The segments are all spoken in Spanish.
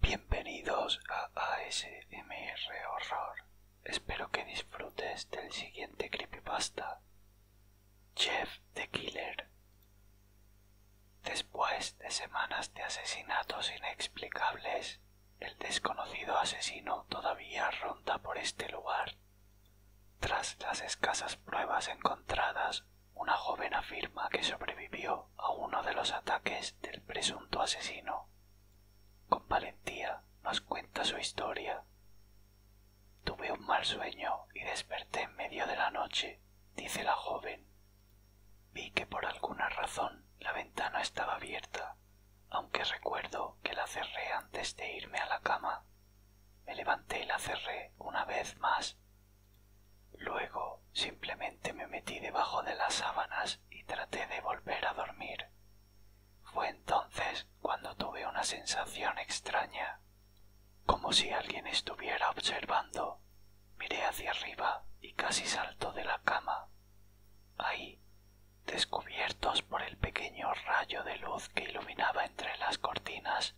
Bienvenidos a ASMR Horror. Espero que disfrutes del siguiente creepypasta. Jeff the Killer. Después de semanas de asesinatos inexplicables, el desconocido asesino todavía ronda por este lugar. Tras las escasas pruebas encontradas, una joven afirma que sobrevivió a uno de los ataques del presunto asesino. Con valentía nos cuenta su historia. Tuve un mal sueño y desperté en medio de la noche, dice la joven. Vi que por alguna razón la ventana estaba abierta aunque recuerdo que la cerré antes de irme a la cama. Me levanté y la cerré una vez más. Luego simplemente me metí debajo de las sábanas y traté de volver a dormir. Fue entonces cuando tuve una sensación extraña, como si alguien estuviera observando. Miré hacia arriba y casi salto de la cama. Ahí, Descubiertos por el pequeño rayo de luz que iluminaba entre las cortinas,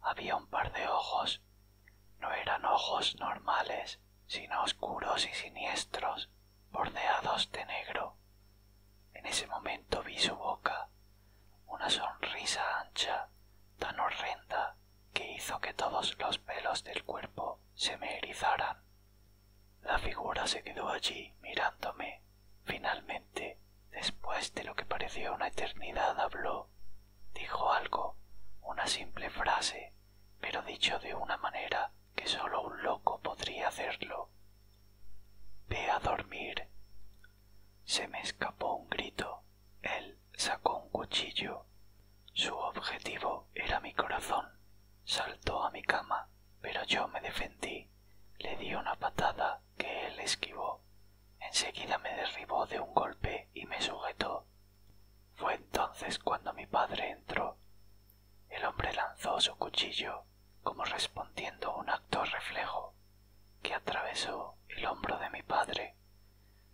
había un par de ojos. No eran ojos normales, sino oscuros y siniestros, bordeados de negro. En ese momento vi su boca, una sonrisa ancha, tan horrenda, que hizo que todos los pelos del cuerpo se me erizaran. La figura se quedó allí mirándome. Finalmente, después de lo que pareció una eternidad, habló. Dijo algo, una simple frase, pero dicho de una manera que solo un loco podría hacerlo. Ve a dormir. Se me escapó un grito. Él sacó un cuchillo. Su objetivo era mi corazón. Saltó a mi cama, pero yo me defendí le di una patada que él esquivó. Enseguida me derribó de un golpe y me sujetó. Fue entonces cuando mi padre entró. El hombre lanzó su cuchillo como respondiendo a un acto reflejo que atravesó el hombro de mi padre.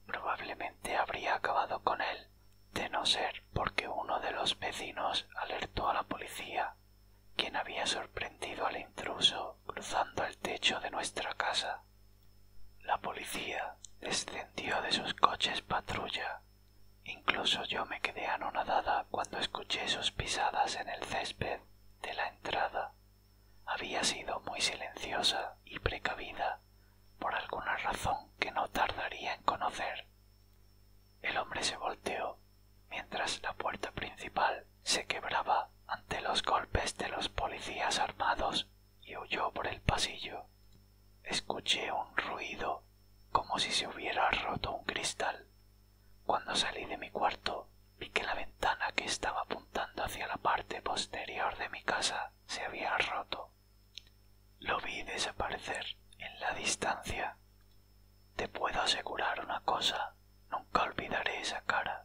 Probablemente habría acabado con él de no ser porque uno de los vecinos alertó a la policía quien había sorprendido al intruso cruzando el techo de nuestra casa. La policía descendió de sus coches patrulla. Incluso yo me quedé anonadada cuando escuché sus pisadas en el césped de la entrada. Había sido muy silenciosa y precavida por alguna razón que no tardaría en conocer. El hombre se volteó mientras la puerta principal se quebraba ante los golpes de los policías armados y huyó por el pasillo. Escuché un ruido como si se hubiera roto un cristal. Cuando salí de mi cuarto, vi que la ventana que estaba apuntando hacia la parte posterior de mi casa se había roto. Lo vi desaparecer en la distancia. Te puedo asegurar una cosa, nunca olvidaré esa cara,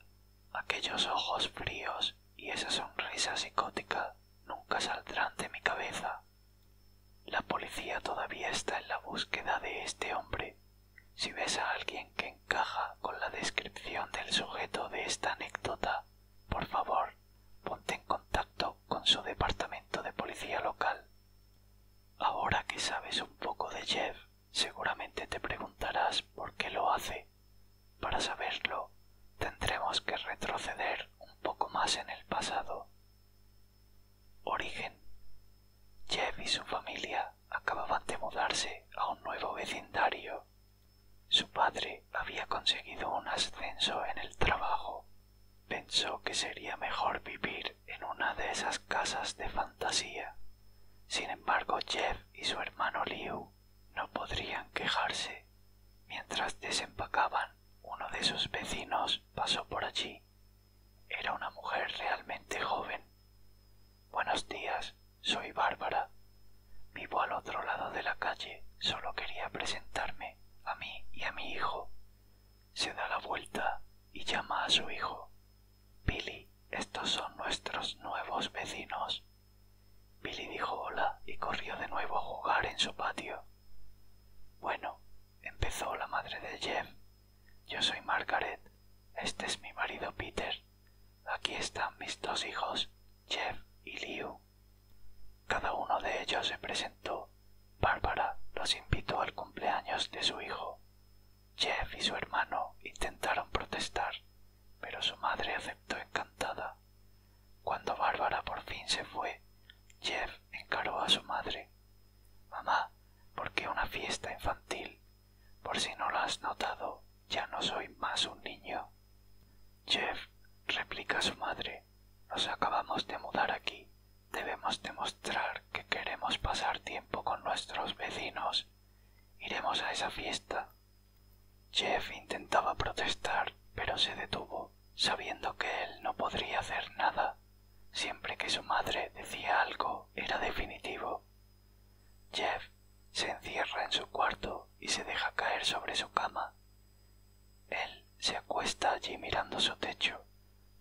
aquellos ojos fríos y esa sonrisa psicótica nunca saldrán de mi cabeza. La policía todavía está en la búsqueda de este hombre. Si ves a alguien que encaja con la descripción del sujeto de esta anécdota, por favor, ponte en contacto con su departamento de policía local. Ahora que sabes un poco de Jeff, seguramente te preguntarás por qué lo hace. Para saberlo, tendremos que retroceder un poco más en el pasado. Origen. Jeff y su familia acababan de mudarse a un nuevo vecindario. Su padre había conseguido un ascenso en el trabajo Pensó que sería mejor vivir en una de esas casas de fantasía. Sin embargo, Jeff y su hermano Liu no podrían quejarse. Mientras desempacaban, uno de sus vecinos pasó por allí. Era una mujer realmente joven. Buenos días, soy Bárbara. Vivo al otro lado de la calle. Solo quería presentarme a mí y a mi hijo se da la vuelta y llama a su hijo. Billy, estos son nuestros nuevos vecinos. Billy dijo hola y corrió de nuevo a jugar en su patio. Bueno, empezó la madre de Jeff. Yo soy Margaret. Este es mi marido Peter. Aquí están mis dos hijos, Jeff y Liu. Cada uno de ellos se presentó Bárbara los invitó al cumpleaños de su hijo. Jeff y su hermano intentaron protestar, pero su madre aceptó encantada. Cuando Bárbara por fin se fue, Jeff encaró a su madre. Mamá, ¿por qué una fiesta infantil? Por si no lo has notado, ya no soy más un niño. Jeff, replica su madre, nos acabamos de mudar aquí Debemos demostrar que queremos pasar tiempo con nuestros vecinos. Iremos a esa fiesta. Jeff intentaba protestar, pero se detuvo, sabiendo que él no podría hacer nada. Siempre que su madre decía algo, era definitivo. Jeff se encierra en su cuarto y se deja caer sobre su cama. Él se acuesta allí mirando su techo.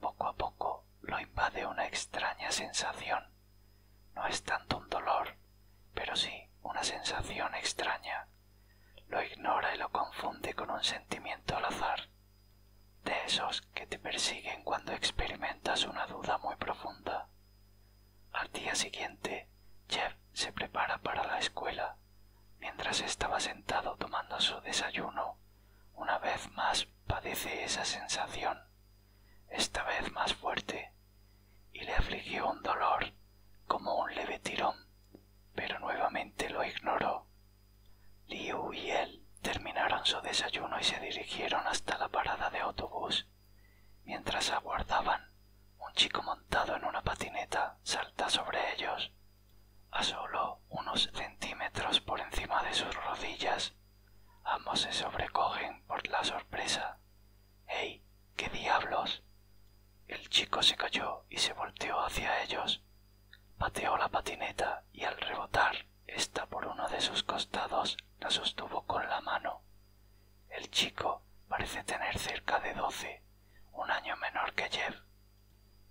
Poco a poco lo invade una extraña sensación. No es tanto un dolor, pero sí una sensación extraña. Lo ignora y lo confunde con un sentimiento al azar, de esos que te persiguen cuando experimentas una duda muy profunda. Al día siguiente, Jeff se prepara para la escuela. Mientras estaba sentado tomando su desayuno, una vez más padece esa sensación, esta vez más fuerte, y le afligió un dolor como un leve tirón, pero nuevamente lo ignoró. Liu y él terminaron su desayuno y se dirigieron hasta la parada de autobús. Mientras aguardaban, un chico montado en una patineta salta sobre ellos a solo unos centímetros por encima de sus rodillas, ambos se sobrecogen por la sorpresa. hey ¿Qué diablos? El chico se cayó y se volteó hacia ellos. Pateó la patineta y al rebotar esta por uno de sus costados la sostuvo con la mano. El chico parece tener cerca de doce, un año menor que Jeff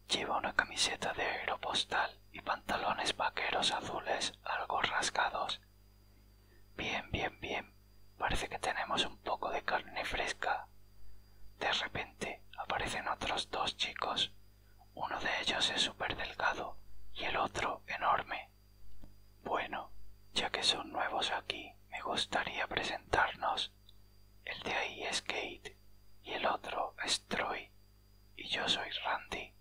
Lleva una camiseta de aeropostal y pantalones vaqueros azules algo rasgados. Bien, bien, bien. Parece que tenemos un poco de carne fresca. De repente aparecen otros dos chicos. Uno de ellos es súper delgado y el otro enorme. Bueno, ya que son nuevos aquí, me gustaría presentarnos. El de ahí es Kate y el otro es Troy, y yo soy Randy.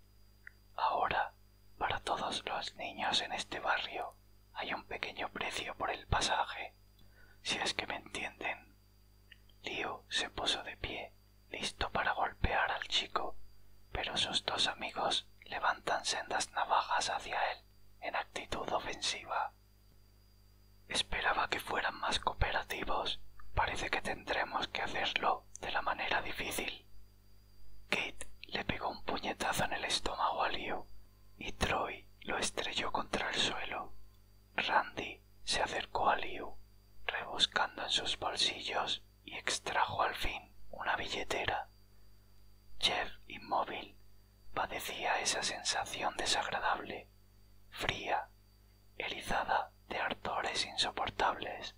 Ahora, para todos los niños en este barrio hay un pequeño precio por el pasaje, si es que me entienden. Leo se puso de pie, listo para golpear al chico, pero sus dos amigos levantan sendas navajas hacia él en actitud ofensiva. Esperaba que fueran más cooperativos. Parece que tendremos que hacerlo de la manera difícil. Kate le pegó un puñetazo en el estómago a Liu y Troy lo estrelló contra el suelo. Randy se acercó a Liu, rebuscando en sus bolsillos y extrajo al fin una billetera. Jeff, inmóvil, padecía esa sensación desagradable, fría elizada de ardores insoportables.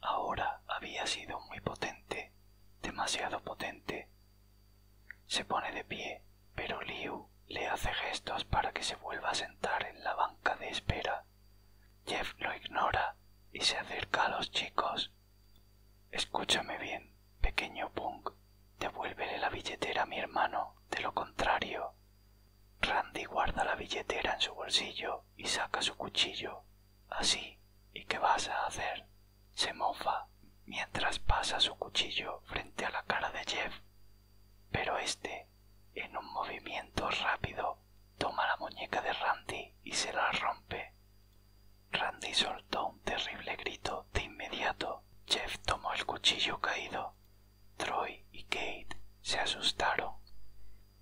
Ahora había sido muy potente, demasiado potente. Se pone de pie, pero Liu le hace gestos para que se vuelva a sentar en la banca de espera. Jeff lo ignora y se acerca a los chicos. Escúchame bien, pequeño Punk. Devuélvele la billetera a mi hermano, de lo contrario, Randy guarda la billetera en su bolsillo y saca su cuchillo. Así, ¿y qué vas a hacer? Se mofa mientras pasa su cuchillo frente a la cara de Jeff. Pero éste en un movimiento rápido, toma la muñeca de Randy y se la rompe. Randy soltó un terrible grito de inmediato. Jeff tomó el cuchillo caído Troy y Kate se asustaron,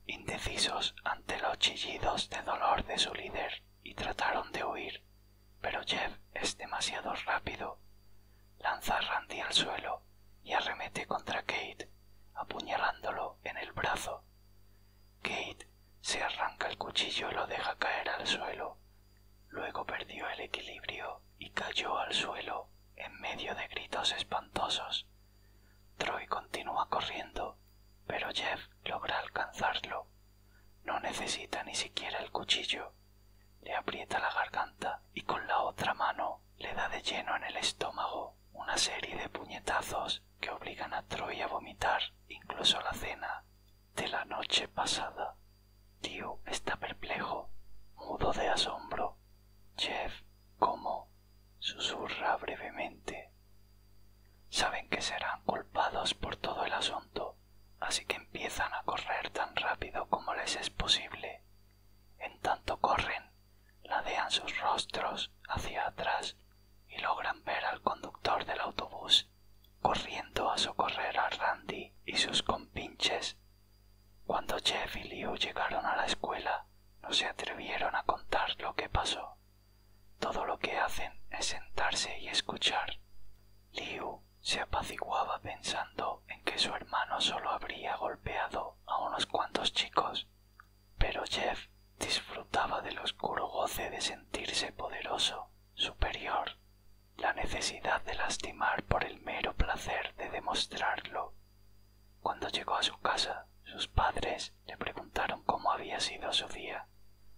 indecisos ante los chillidos de dolor de su líder, y trataron de huir, pero Jeff es demasiado rápido. Lanza a Randy al suelo y arremete contra Kate, apuñalándolo en el brazo. Kate se arranca el cuchillo y lo deja caer al suelo. Luego perdió el equilibrio y cayó al suelo en medio de gritos espantosos. Troy continúa corriendo, pero Jeff logra alcanzarlo. No necesita ni siquiera el cuchillo. Le aprieta la garganta y con la otra mano le da de lleno en el estómago una serie de puñetazos que obligan a Troy a vomitar incluso la cena de la noche pasada. Tío está perplejo, mudo de asombro. Jeff, ¿cómo? susurra brevemente. Saben que serán culpados por todo el asunto, así que empiezan a correr tan rápido como les es posible. En tanto corren, ladean sus rostros hacia atrás y logran ver al conductor del autobús corriendo a socorrer a Randy y sus compinches cuando Jeff y Leo llegaron a la escuela, no se atrevieron a contar lo que pasó. Todo lo que hacen es sentarse y escuchar. Liu se apaciguaba pensando en que su hermano solo habría golpeado a unos cuantos chicos, pero Jeff disfrutaba del oscuro goce de sentirse poderoso, superior, la necesidad de lastimar por el mero placer de demostrarlo. Cuando llegó a su casa, sus padres le preguntaron cómo había sido su día,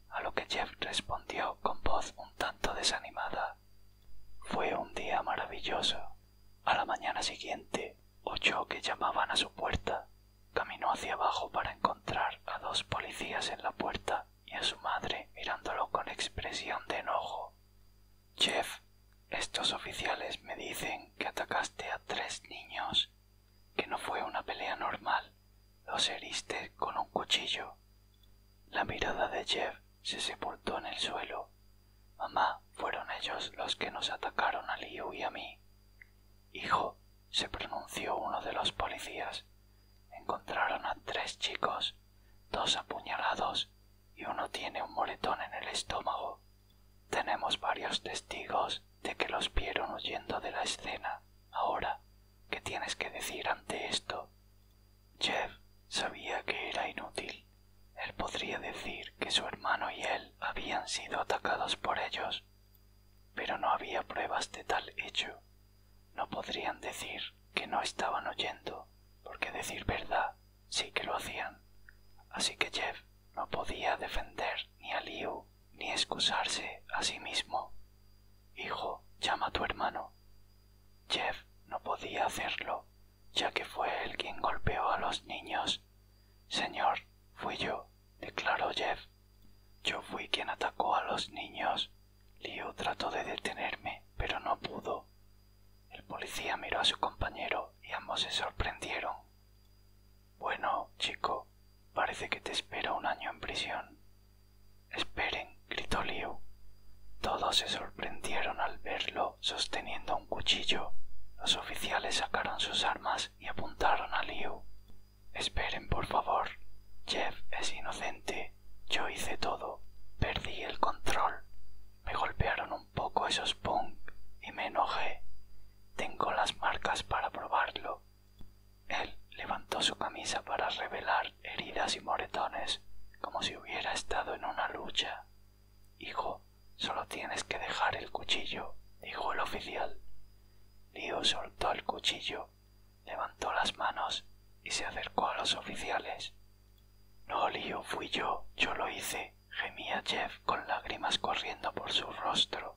a lo que Jeff respondió con voz un tanto desanimada. Fue un día maravilloso. A la mañana siguiente oyó que llamaban a su puerta. Caminó hacia abajo para encontrar a dos policías en la puerta y a su madre mirándolo con expresión de enojo. Jeff, estos oficiales me dicen que atacaste a tres niños, que no fue una pelea normal, los heriste con un cuchillo. La mirada de Jeff se sepultó en el suelo. Mamá, fueron ellos los que nos atacaron a Liu y a mí. Hijo, se pronunció uno de los policías. Encontraron a tres chicos, dos apuñalados y uno tiene un moretón en el estómago. Tenemos varios testigos de que los vieron huyendo de la escena. Ahora, ¿qué tienes que decir ante esto? Jeff sabía que era inútil. Él podría decir que su hermano y él habían sido atacados por ellos, pero no había pruebas de tal hecho. No podrían decir que no estaban oyendo, porque decir verdad sí que lo hacían, así que Jeff no podía defender ni a Liu ni excusarse a sí mismo. Hijo, llama a tu hermano. Jeff no podía hacerlo, ya que fue él quien golpeó a los niños. Señor, fui yo, declaró Jeff. Yo fui quien atacó a los niños. Liu trató de detenerme, pero no pudo. El policía miró a su compañero y ambos se sorprendieron. Bueno, chico, parece que te espero un año en prisión. Esperen, gritó Liu. Todos se sorprendieron al verlo sosteniendo un cuchillo. Los oficiales sacaron sus armas y apuntaron a Liu. Esperen, por favor. Jeff es inocente. Yo hice todo. Perdí el control. Me golpearon un poco esos punk y me enojé. Tengo las marcas para probarlo. Él levantó su camisa para revelar heridas y moretones, como si hubiera estado en una lucha. Hijo, solo tienes que dejar el cuchillo, dijo el oficial. Leo soltó el cuchillo, levantó las manos y se acercó a los oficiales. No, Leo, fui yo, yo lo hice, gemía Jeff con lágrimas corriendo por su rostro.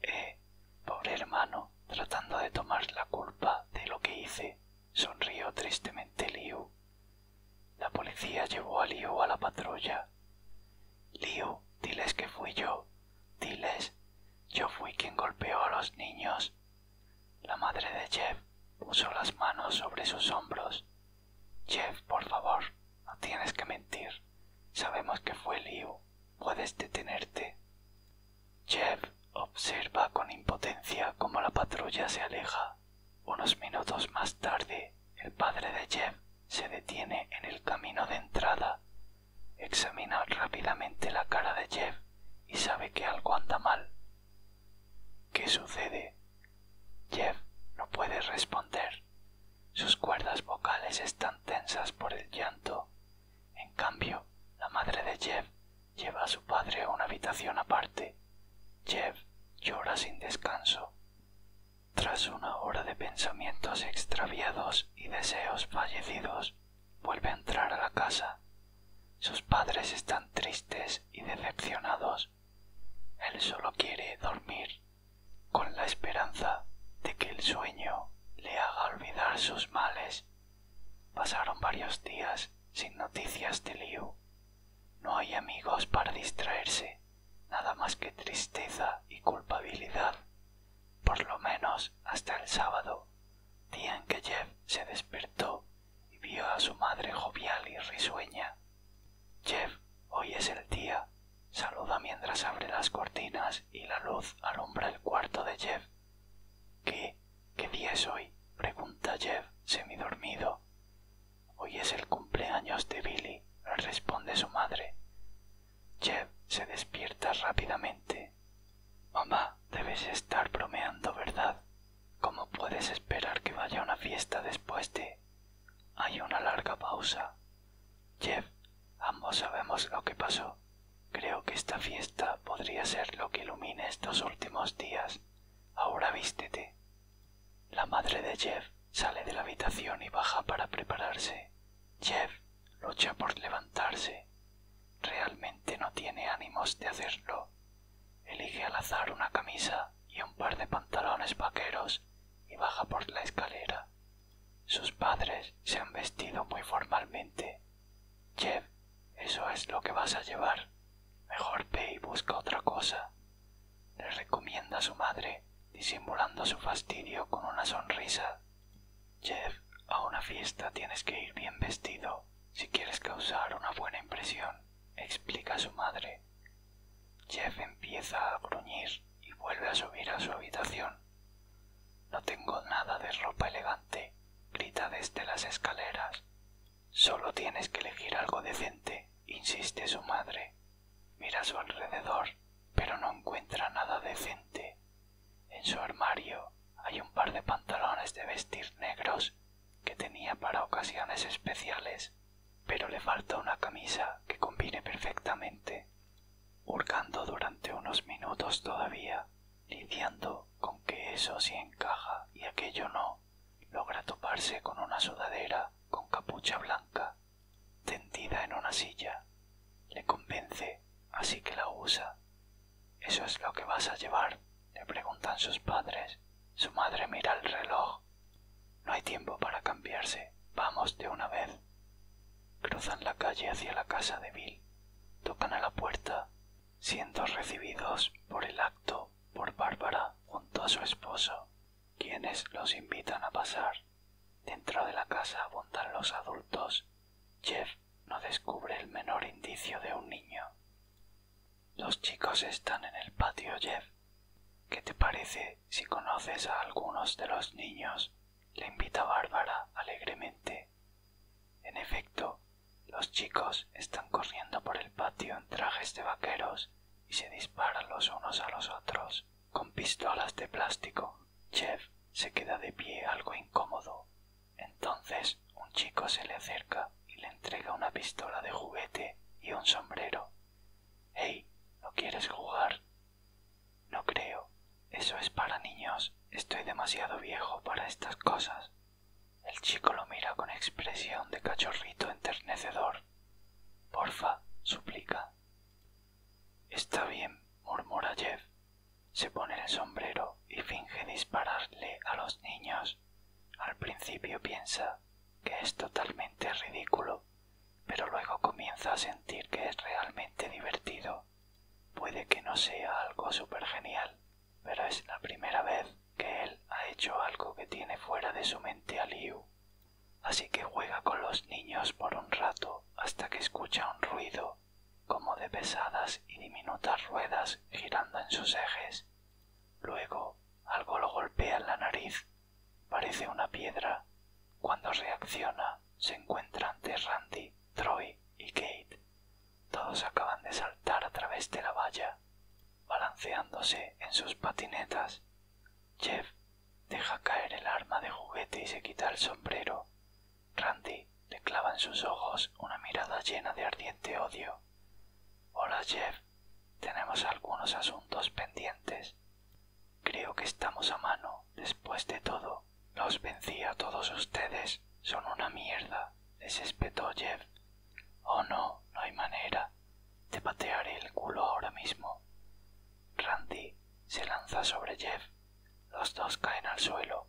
Eh, pobre hermano, tratando de tomar la culpa de lo que hice, sonrió tristemente Liu. La policía llevó a Liu a la patrulla. Liu, diles que fui yo, diles, yo fui quien golpeó a los niños, la madre de Jeff puso las manos sobre sus hombros. Jeff, por favor, no tienes que mentir. Sabemos que fue lío Puedes detenerte. Jeff observa con impotencia cómo la patrulla se aleja. Unos minutos más tarde, el padre de Jeff se detiene en el camino de entrada. Examina rápidamente la cara de Jeff y sabe que algo anda mal. ¿Qué sucede? Jeff no puede responder. Sus cuerdas vocales están tensas por el llanto. En cambio, la madre de Jeff lleva a su padre a una habitación aparte. Jeff llora sin descanso. Tras una hora de pensamientos extraviados y deseos fallecidos, vuelve a entrar a la casa sus padres están tristes y decepcionados. Él sólo quiere dormir, con la esperanza de que el sueño le haga olvidar sus males. Pasaron varios días sin noticias de Liu. No hay amigos para distraerse, nada más que tristeza y culpabilidad, por lo menos hasta el sábado, día en que Jeff se despertó y vio a su madre jovial y risueña. Jeff, hoy es el día. Saluda mientras abre las cortinas y la luz alumbra el cuarto de Jeff. ¿Qué? ¿Qué día es hoy? pregunta Jeff, semidormido. Hoy es el cumpleaños de Billy, responde su madre. Jeff se despierta rápidamente. Mamá, debes estar bromeando, ¿verdad? ¿Cómo puedes esperar que vaya una fiesta después de... Hay una larga pausa. Jeff, ambos sabemos lo que pasó. Creo que esta fiesta podría ser lo que ilumine estos últimos días. Ahora vístete. La madre de Jeff sale de la habitación y baja para prepararse. Jeff lucha por levantarse. Realmente no tiene ánimos de hacerlo. Elige al azar una camisa y un par de pantalones vaqueros y baja por la escalera. Sus padres se han vestido muy formalmente. Jeff, eso es lo que vas a llevar. Mejor ve y busca otra cosa. Le recomienda a su madre, disimulando su fastidio con una sonrisa. Jeff, a una fiesta tienes que ir bien vestido. Si quieres causar una buena impresión, explica su madre. Jeff empieza a gruñir y vuelve a subir a su habitación. No tengo nada de ropa elegante, grita desde las escaleras. Solo tienes que elegir algo decente, insiste su madre. Mira a su alrededor, pero no encuentra nada decente. En su armario hay un par de pantalones de vestir negros que tenía para ocasiones especiales, pero le falta una camisa que combine perfectamente. Hurgando durante unos minutos todavía, lidiando con que eso sí encaja y aquello no, logra toparse con una sudadera con capucha blanca, tendida en una silla. Le convence, así que la usa ¿Eso es lo que vas a llevar? le preguntan sus padres. Su madre mira el reloj. No hay tiempo para cambiarse. Vamos de una vez. Cruzan la calle hacia la casa de Bill. Tocan a la puerta, siendo recibidos por el acto por Bárbara junto a su esposo, quienes los invitan a pasar. Dentro de la casa abundan los adultos. Jeff no descubre el menor indicio de un niño. Los chicos están en el patio, Jeff. ¿Qué te parece si conoces a algunos de los niños? le invita Bárbara alegremente. En efecto, los chicos están corriendo por el patio en trajes de vaqueros y se disparan los unos a los otros con pistolas de plástico. Jeff se queda de pie algo incómodo entonces un chico se le acerca y le entrega una pistola de juguete y un sombrero. Hey, ¿no quieres jugar? No creo. Eso es para niños. Estoy demasiado viejo para estas cosas. El chico lo mira con expresión de cachorrito enternecedor. Porfa, suplica. Está bien, murmura Jeff. Se pone el sombrero y finge dispararle a los niños al principio piensa que es totalmente ridículo, pero luego comienza a sentir que es realmente divertido. Puede que no sea algo súper genial, pero es la primera vez que él ha hecho algo que tiene fuera de su mente a Liu. Así que juega con los niños por un rato hasta que escucha un ruido como de pesadas y diminutas ruedas girando en sus ejes. Luego algo lo golpea en la nariz, parece una piedra. Cuando reacciona, se encuentra ante Randy, Troy y Kate. Todos acaban de saltar a través de la valla, balanceándose en sus patinetas. Jeff deja caer el arma de juguete y se quita el sombrero. Randy le en sus ojos una mirada llena de ardiente odio. Hola Jeff, tenemos algunos asuntos pendientes. Creo que estamos a mano, después de todo. Los vencí a todos ustedes. Son una mierda, les espetó Jeff. Oh no, no hay manera. Te patearé el culo ahora mismo. Randy se lanza sobre Jeff. Los dos caen al suelo.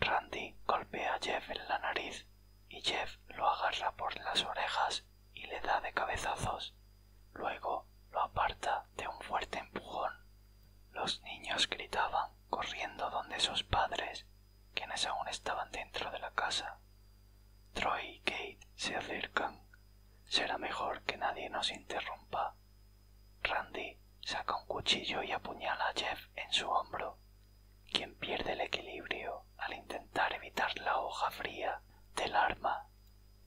Randy golpea a Jeff en la nariz y Jeff lo agarra por las orejas y le da de cabezazos. Luego lo aparta de un fuerte empujón. Los niños gritaban corriendo donde sus padres, quienes aún estaban dentro de la casa. Troy y Kate se acercan. Será mejor que nadie nos interrumpa. Randy saca un cuchillo y apuñala a Jeff en su hombro quien pierde el equilibrio al intentar evitar la hoja fría del arma.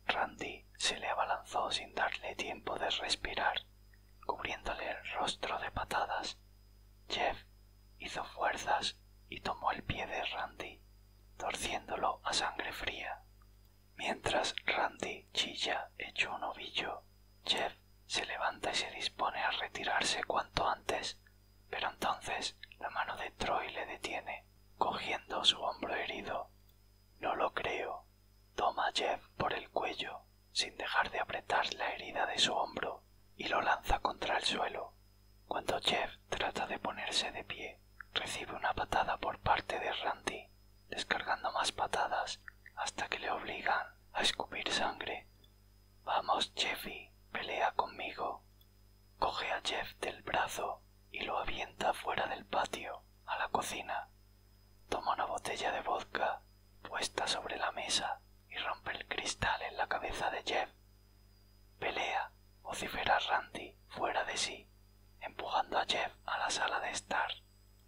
Randy se le abalanzó sin darle tiempo de respirar, cubriéndole el rostro de patadas. Jeff hizo fuerzas y tomó el pie de Randy, torciéndolo a sangre fría. Mientras Randy chilla echó un ovillo, Jeff se levanta y se dispone a retirarse cuanto antes, pero entonces la mano de Troy le detiene, cogiendo su hombro herido. No lo creo. Toma Jeff por el cuello, sin dejar de apretar la herida de su hombro, y lo lanza contra el suelo. Cuando Jeff trata de ponerse de pie, recibe una patada por parte de Randy, descargando más patadas hasta que le obligan a escupir sangre Vamos, Jeffy, pelea conmigo. Coge a Jeff del brazo y lo avienta fuera del patio, a la cocina. Toma una botella de vodka puesta sobre la mesa y rompe el cristal en la cabeza de Jeff. Pelea, vocifera Randy, fuera de sí, empujando a Jeff a la sala de estar.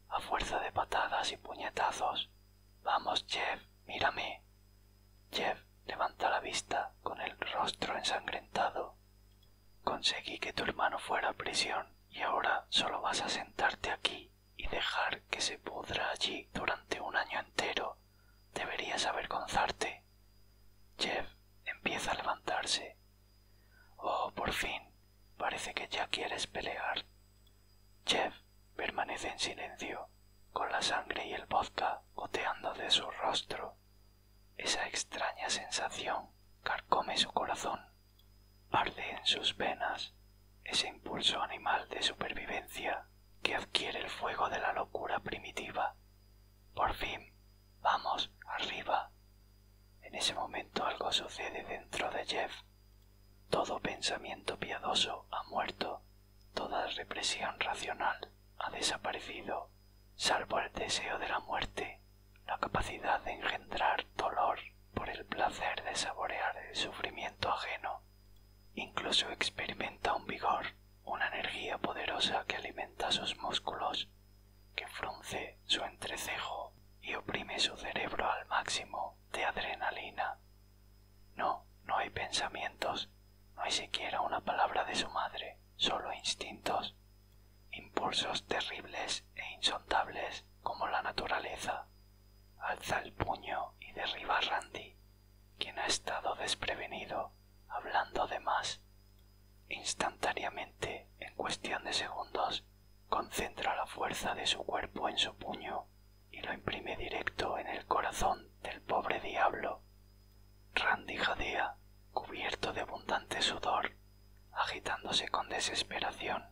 A fuerza de patadas y puñetazos, Vamos, Jeff, mírame. Jeff levanta la vista con el rostro ensangrentado. Conseguí que tu hermano fuera a prisión y ahora solo vas a sentarte aquí y dejar que se pudra allí durante un año entero. Deberías avergonzarte. Jeff empieza a levantarse. Oh, por fin. Parece que ya quieres pelear. Jeff permanece en silencio, con la sangre y el vodka goteando de su rostro. Esa extraña sensación carcome su corazón. Arde en sus venas ese impulso animal de supervivencia que adquiere el fuego de la locura primitiva. Por fin, vamos, arriba. En ese momento algo sucede dentro de Jeff. Todo pensamiento piadoso ha muerto, toda represión racional ha desaparecido, salvo el deseo de la muerte, la capacidad de engendrar dolor por el placer de saborear el sufrimiento ajeno. Incluso experimenta un vigor, una energía poderosa que alimenta sus músculos, que frunce su entrecejo y oprime su cerebro al máximo de adrenalina no, no hay pensamientos, no hay siquiera una palabra de su madre, sólo instintos, impulsos terribles e insondables como la naturaleza. Alza el puño y derriba a Randy, quien ha estado desprevenido, hablando de más. Instantáneamente, en cuestión de segundos, concentra la fuerza de su cuerpo en su puño y lo imprime directo en el corazón del pobre diablo. Randy jadea, cubierto de abundante sudor, agitándose con desesperación.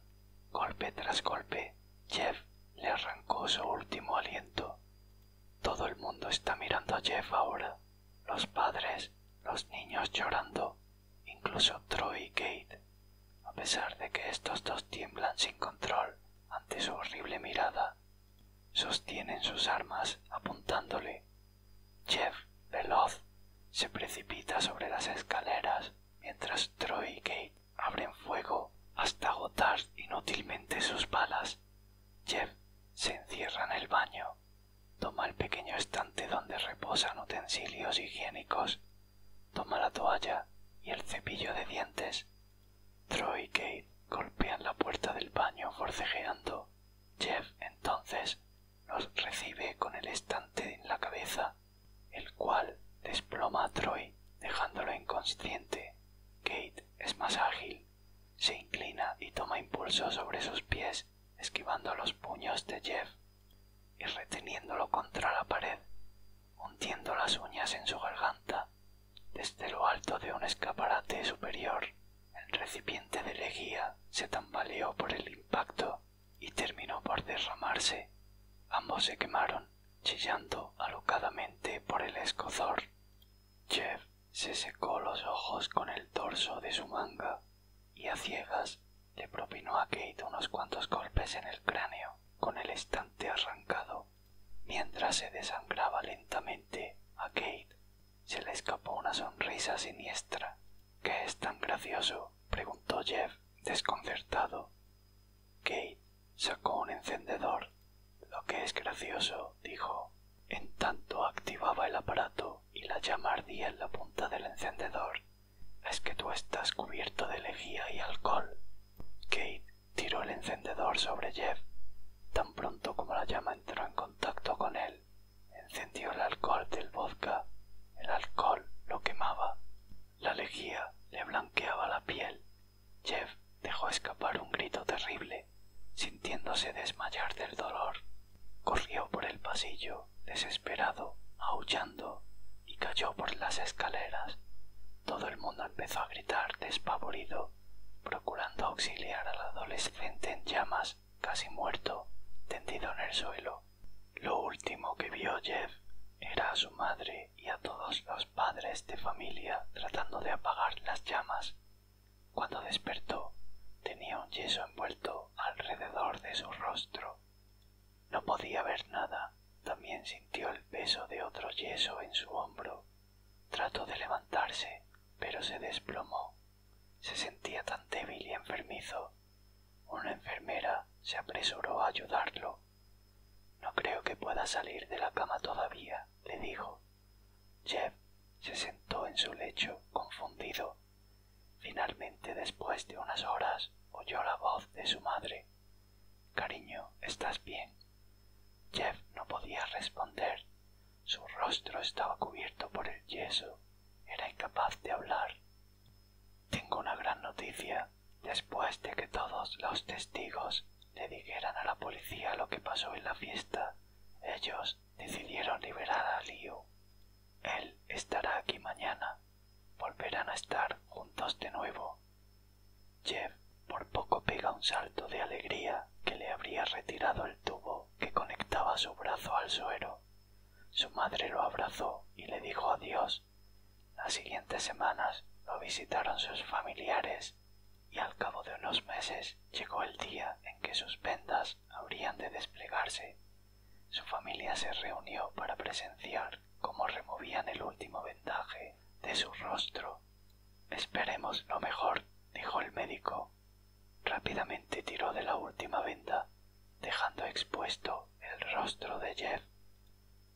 Golpe tras golpe, Jeff le arrancó su último aliento. Todo el mundo está mirando a Jeff ahora. Los padres, los niños llorando, incluso Troy y a pesar de que estos dos tiemblan sin control ante su horrible mirada. Sostienen sus armas apuntándole. Jeff, veloz, se precipita sobre las escaleras mientras Troy y Kate abren fuego hasta agotar inútilmente sus balas. Jeff se encierra en el baño, toma el pequeño estante donde reposan utensilios higiénicos Toma la toalla y el cepillo de dientes. Troy y Kate golpean la puerta del baño forcejeando. Jeff entonces los recibe con el estante en la cabeza, el cual desploma a Troy dejándolo inconsciente. Kate es más ágil, se inclina y toma impulso sobre sus pies, esquivando los puños de Jeff y reteniéndolo contra la pared hundiendo las uñas en su garganta desde lo alto de un escaparate superior. El recipiente de lejía se tambaleó por el impacto y terminó por derramarse. Ambos se quemaron, chillando alocadamente por el escozor. Jeff se secó los ojos con el torso de su manga y a ciegas le propinó a Kate unos cuantos golpes en el cráneo con el estante arrancado. Mientras se desangraba lentamente a Kate, se le escapó una sonrisa siniestra. ¿Qué es tan gracioso? preguntó Jeff, desconcertado. Kate sacó un encendedor. Lo que es gracioso, dijo. En tanto activaba el aparato y la llama ardía en la punta del encendedor. Es que tú estás cubierto de lejía y alcohol. Kate tiró el encendedor sobre Jeff. Tan pronto como la llama entró en contacto con él, encendió el alcohol del vodka. El alcohol lo quemaba. La lejía le blanqueaba la piel. Jeff dejó escapar un grito terrible, sintiéndose desmayar del dolor. Corrió por el pasillo, desesperado, aullando y cayó por las escaleras. Todo el mundo empezó a gritar despavorido, procurando auxiliar al adolescente en llamas, casi muerto, tendido en el suelo. Lo último que vio Jeff era a su madre y a todos los padres de familia tratando de apagar las llamas. Cuando despertó, tenía un yeso envuelto alrededor de su rostro. No podía ver nada. También sintió el peso de otro yeso en su hombro. Trató de levantarse, pero se desplomó. Se sentía tan débil y enfermizo. Una enfermera se apresuró a ayudarlo. No creo que pueda salir de la cama todavía, le dijo. Jeff se sentó en su lecho, confundido. Finalmente, después de unas horas, oyó la voz de su madre. Cariño, ¿estás bien? Jeff no podía responder. Su rostro estaba cubierto por el yeso. Era incapaz de hablar. Tengo una gran noticia. Después de que todos los testigos le dijeran a la policía lo que pasó en la fiesta, ellos decidieron liberar a Liu. Él estará aquí mañana volverán a estar juntos de nuevo. Jeff por poco pega un salto de alegría que le habría retirado el tubo que conectaba su brazo al suero. Su madre lo abrazó y le dijo adiós. Las siguientes semanas lo visitaron sus familiares y al cabo de unos meses llegó el día en que sus vendas habrían de desplegarse. Su familia se reunió para presenciar como removían el último vendaje de su rostro. Esperemos lo mejor, dijo el médico. Rápidamente tiró de la última venda, dejando expuesto el rostro de Jeff.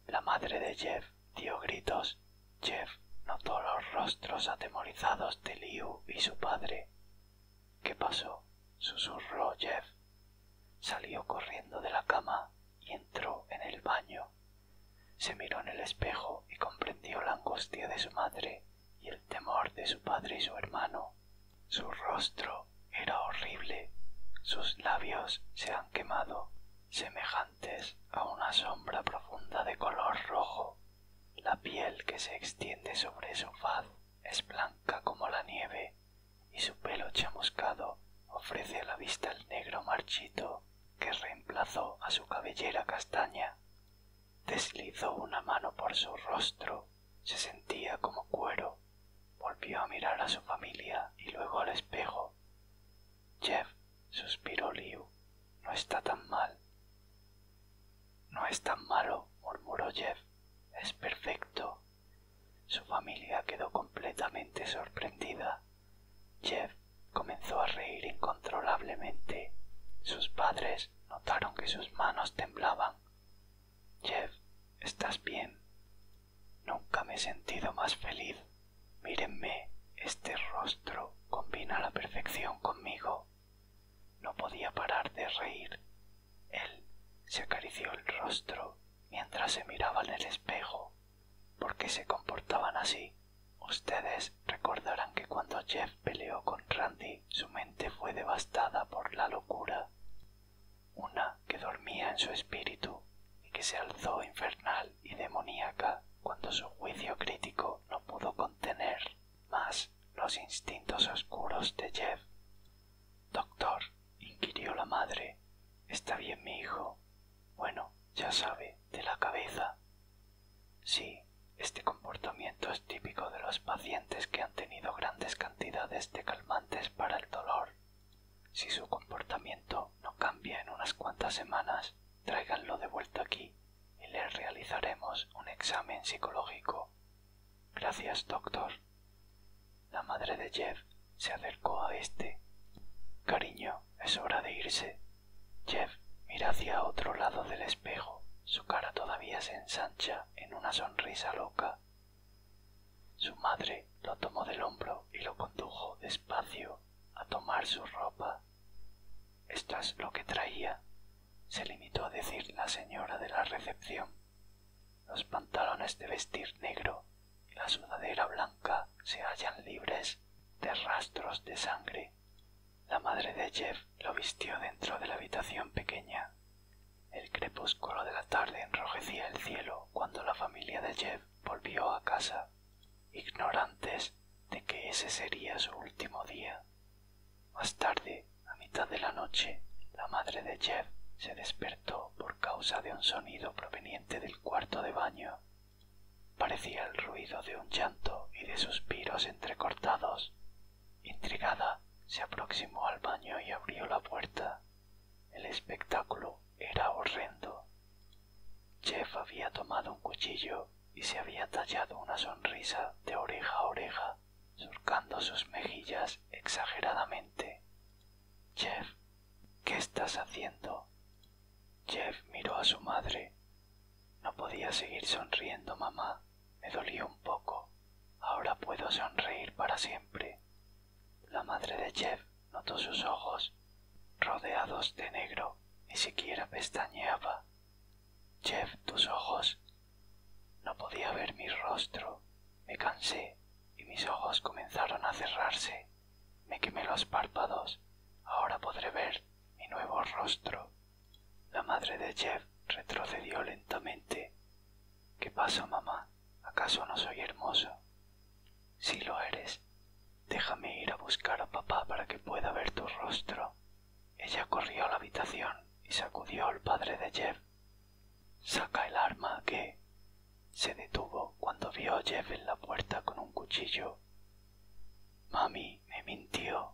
La madre de Jeff dio gritos. Jeff notó los rostros atemorizados de Liu y su padre. ¿Qué pasó? susurró Jeff. Salió corriendo de la cama entró en el baño. Se miró en el espejo y comprendió la angustia de su madre y el temor de su padre y su hermano. Su rostro era horrible, sus labios se han quemado, semejantes a una sombra profunda de color rojo. La piel que se extiende sobre su faz es blanca como la nieve y su pelo chamuscado ofrece a la vista el negro marchito que reemplazó a su cabellera castaña. Deslizó una mano por su rostro, se sentía como cuero, volvió a mirar a su familia y luego al espejo. Jeff, suspiró Liu, no está tan mal. No es tan malo, murmuró Jeff, es perfecto. Su familia quedó completamente sorprendida. Jeff comenzó a reír incontrolablemente. Sus padres notaron que sus manos temblaban. Jeff, ¿estás bien? Nunca me he sentido más feliz. Mírenme, este rostro combina la perfección conmigo. No podía parar de reír. Él se acarició el rostro mientras se miraban en el espejo. ¿Por qué se comportaban así? Ustedes recordarán que cuando Jeff peleó con Randy, su mente fue devastada por la locura. Una que dormía en su espíritu y que se alzó infernal y demoníaca cuando su juicio crítico no pudo contener más los instintos oscuros de Jeff. Doctor, inquirió la madre, ¿está bien mi hijo? Bueno, ya sabe, de la cabeza. Sí, este comportamiento es típico de los pacientes que han tenido grandes cantidades de calmantes para el dolor. Si su comportamiento no cambia en unas cuantas semanas, tráiganlo de vuelta aquí y les realizaremos un examen psicológico. Gracias, doctor. La madre de Jeff se acercó a éste. Cariño, es hora de irse. Jeff mira hacia otro lado del espejo. Su cara todavía se ensancha en una sonrisa loca. Su madre lo tomó del hombro y lo condujo despacio a tomar su ropa. Esto es lo que traía, se limitó a decir la señora de la recepción. Los pantalones de vestir negro y la sudadera blanca se hallan libres de rastros de sangre. La madre de Jeff lo vistió dentro de la habitación pequeña. El crepúsculo de la tarde enrojecía el cielo cuando la familia de Jeff volvió a casa, ignorantes de que ese sería su último día. Más tarde, a mitad de la noche, la madre de Jeff se despertó por causa de un sonido proveniente del cuarto de baño. Parecía el ruido de un llanto y de suspiros entrecortados. Intrigada, se aproximó al baño y abrió la puerta. El espectáculo era horrendo. Jeff había tomado un cuchillo y se había tallado una sonrisa de oreja a oreja, surcando sus mejillas exageradamente. Jeff, ¿qué estás haciendo? Jeff miró a su madre. No podía seguir sonriendo, mamá. Me dolía un poco. Ahora puedo sonreír para siempre. La madre de Jeff notó sus ojos, rodeados de negro. Ni siquiera pestañeaba. Jeff, tus ojos. No podía ver mi rostro. Me cansé y mis ojos comenzaron a cerrarse. Me quemé los párpados. Ahora podré ver mi nuevo rostro. La madre de Jeff retrocedió lentamente. ¿Qué pasa, mamá? ¿Acaso no soy hermoso? Si lo eres, déjame ir a buscar a papá para que pueda ver tu rostro. Ella corrió a la habitación y sacudió al padre de Jeff Saca el arma que... Se detuvo cuando vio a Jeff en la puerta con un cuchillo. Mami me mintió.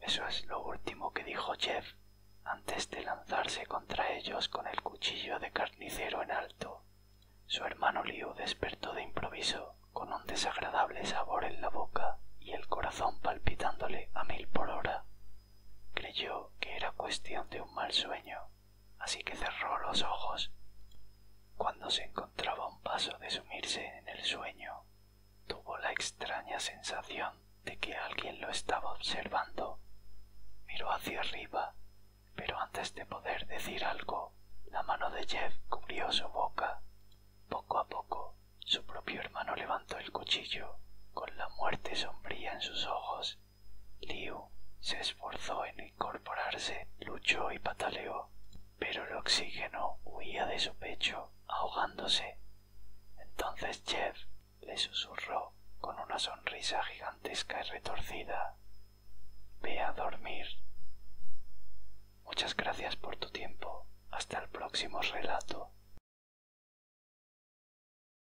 Eso es lo último que dijo Jeff antes de lanzarse contra ellos con el cuchillo de carnicero en alto. Su hermano Liu despertó de improviso, con un desagradable sabor en la boca y el corazón palpitándole a mil por hora. Creyó que era cuestión de un mal sueño así que cerró los ojos. Cuando se encontraba un paso de sumirse en el sueño, tuvo la extraña sensación de que alguien lo estaba observando. Miró hacia arriba, pero antes de poder decir algo, la mano de Jeff cubrió su boca. Poco a poco, su propio hermano levantó el cuchillo, con la muerte sombría en sus ojos. Liu se esforzó en incorporarse, luchó y pataleó, pero el oxígeno huía de su pecho, ahogándose. Entonces Jeff le susurró con una sonrisa gigantesca y retorcida. Ve a dormir. Muchas gracias por tu tiempo. Hasta el próximo relato.